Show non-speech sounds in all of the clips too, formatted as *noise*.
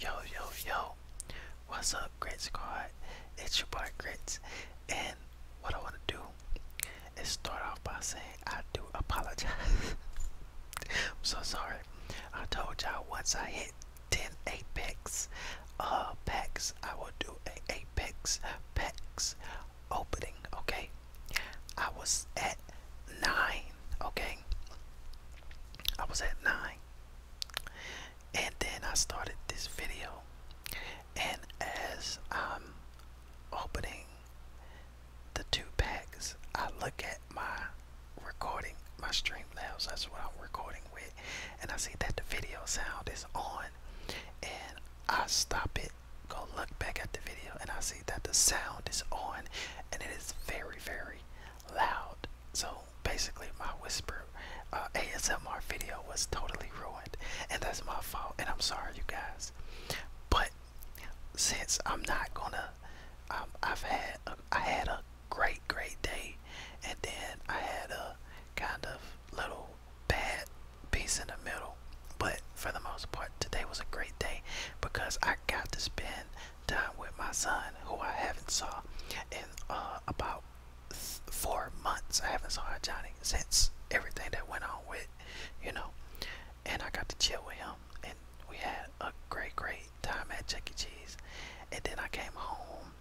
Yo, yo, yo. What's up, Grit Squad? It's your boy Grits. And what I want to do is start off by saying I do apologize. *laughs* I'm so sorry. I told y'all once I hit 10 apex uh packs, I will do a apex packs opening, okay? I was at nine, okay? I was at nine. And then I started this video. And as I'm opening the two packs, I look at my recording, my Streamlabs, that's what I'm recording with. And I see that the video sound is on. And I stop it go look back at the video and I see that the sound is on and it is very very loud. So basically my whisper uh, ASMR video was totally ruined and that's my fault and I'm sorry you guys. But since I'm not gonna um, I've had a, um, i am not going to i have had ai had a great great day and then I had a kind of little bad piece in the middle. But for the most part, today was a great day because I got to spend time with my son, who I haven't saw in uh, about four months. I haven't saw Johnny since everything that went on with, you know. And I got to chill with him, and we had a great, great time at Chuck E. Cheese. And then I came home.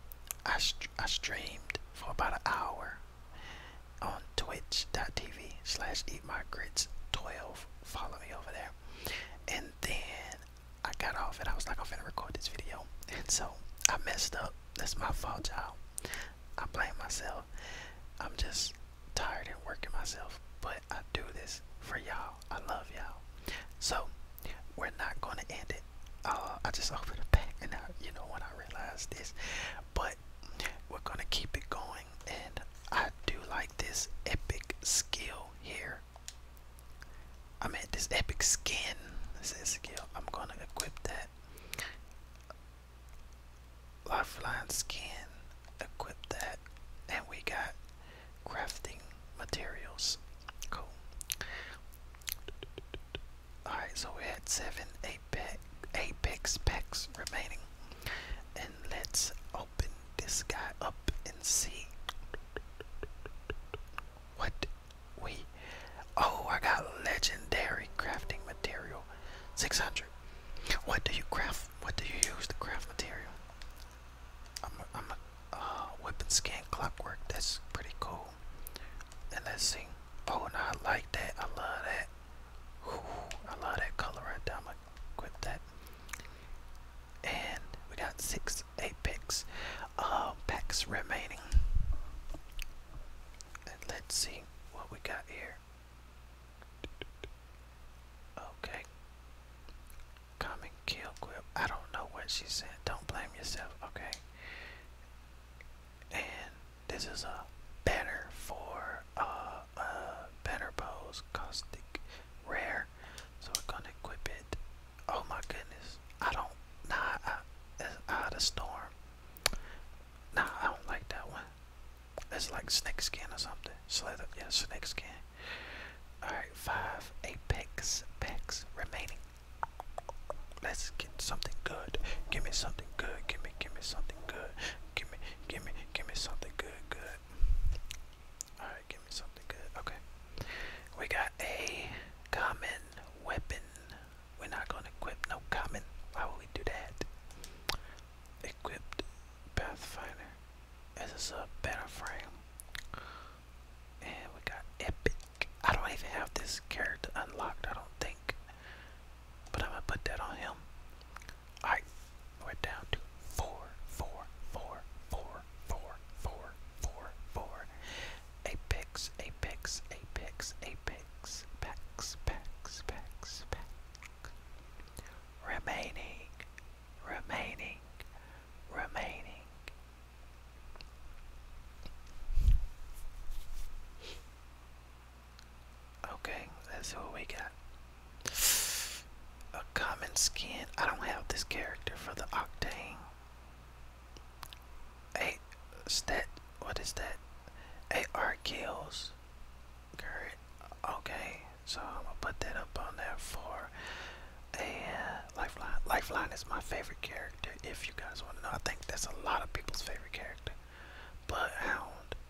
I, I streamed for about an hour on twitch.tv slash eatmygrits12. Follow me over there. And then I got off and I was like, I'm gonna record this video. And so I messed up. That's my fault, y'all. I blame myself. I'm just tired and working myself. But I do this for y'all. I love y'all. So we're not gonna end it. Uh, I just *laughs* opened it back and I, you know when I realized this, but we're gonna keep it going and I do like this epic skill here. I am at this epic skin. This is skill. I'm gonna equip that. Lifeline skin. Equip that. And we got crafting materials. Cool. Alright, so we had seven, eight apex, apex packs remaining. And let's open this guy up and see what we. Oh, I got legendary crafting material 600. What do you craft? What do you use to craft material? I'm a uh, weapon scan clockwork. That's pretty cool. And let's see. Oh, and I like that. I love that. I love that color I'm gonna equip that. And we got six apex uh, remaining. let's see what we got here. Okay. Common kill quip. I don't know what she said. Don't blame yourself. Okay. And this is a banner for uh, a banner pose, caustic rare. So we're gonna equip it. Oh my goodness, I don't. Nah, I, it's out storm. Nah, I don't like that one. It's like snake skin or something. Slither, yeah, snake skin. Alright, five apex packs remaining. Let's get something good. Give me something good. Give me, give me something good. Give me, give me, give me something good, good. All right, give me something good. Okay, we got a common weapon. We're not gonna equip no common. Why would we do that? Equipped Pathfinder. as is a better frame. And we got epic. I don't even have this character unlocked. I don't think. But I'm gonna put that on him. Alright, we down to four, four, four, four, four, four, four, four. Apex, apex, apex, apex, packs, packs, packs, packs. Remaining, remaining, remaining. Okay, let's see what we got. A common skin. I don't have this character for the Octane. A stat. What is that? AR kills. Okay, so I'm gonna put that up on there for a eh, lifeline. Lifeline is my favorite character. If you guys want to know, I think that's a lot of people's favorite character. Bloodhound.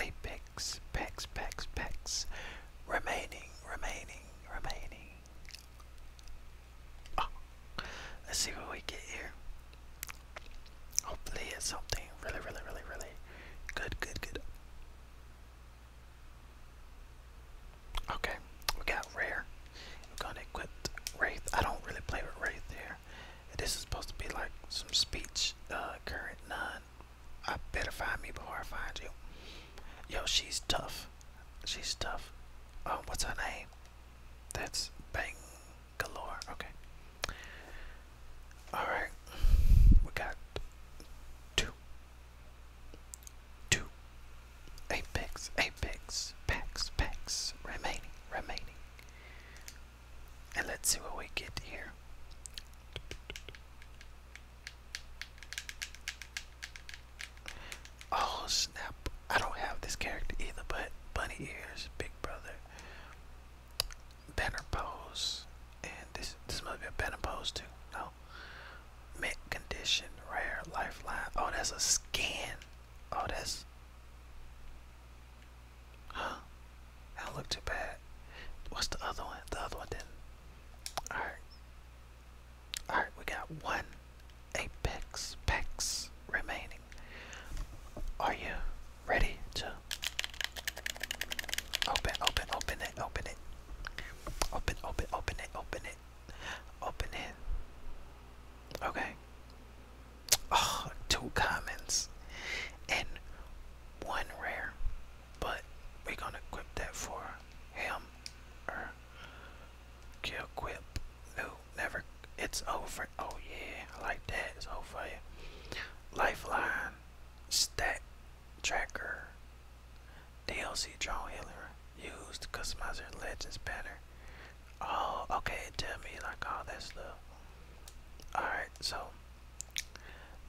Apex, Apex, Pex, Pex, Pex. Remaining, remaining, remaining. Ah. let's see what we get here. Hopefully, it's something really, really, really, really good, good, good. Okay, we got rare. We're gonna equip Wraith. I don't really play with Wraith here. This is supposed to be like some speech, uh, current none. I better find me before I find you. Yo, she's tough. She's tough. Uh, what's her name? That's Bang Galore. Okay. Alright. We got two. Two. Apex, Apex, Pax, Pax, remaining, remaining. And let's see what we get here. Oh snap. I don't have this character either, but bunny ears, big brother, banner pose, and this this must be a banner pose too. No. Mint condition, rare, lifeline. Oh that's a skin. Oh that's Huh? That look too bad. What's the other one? The other one did Alright. Alright, we got one apex pex remaining. Are you ready to open, open, open it, open it. Open, open, open it, open it. Open it. Okay oh, two comments and one rare, but we're gonna equip that for him or kill never. It's over. Oh yeah, I like that. It's over. Lifeline, stat tracker, DLC draw healer used customizer legends banner. Oh, okay. Tell me like all that stuff. Alright, so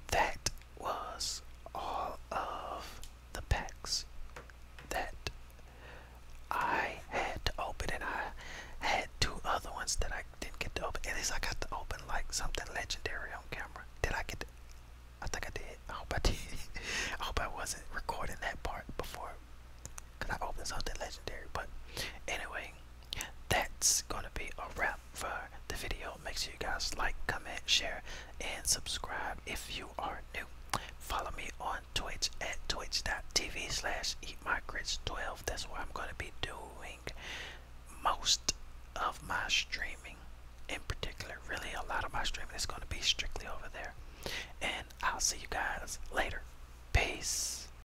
that was all of the packs that I had to open, and I had two other ones that I didn't get to open. At least I got to open like something legendary on camera. Did I get to? I think I did. I hope I did. *laughs* I hope I wasn't recording that part before because I opened something legendary. But anyway that's gonna be a wrap for the video. Make sure you guys like, comment, share, and subscribe if you are new. Follow me on Twitch at twitch.tv slash eatmygrits12. That's where I'm gonna be doing most of my streaming. In particular, really a lot of my streaming is gonna be strictly over there. And I'll see you guys later. Peace.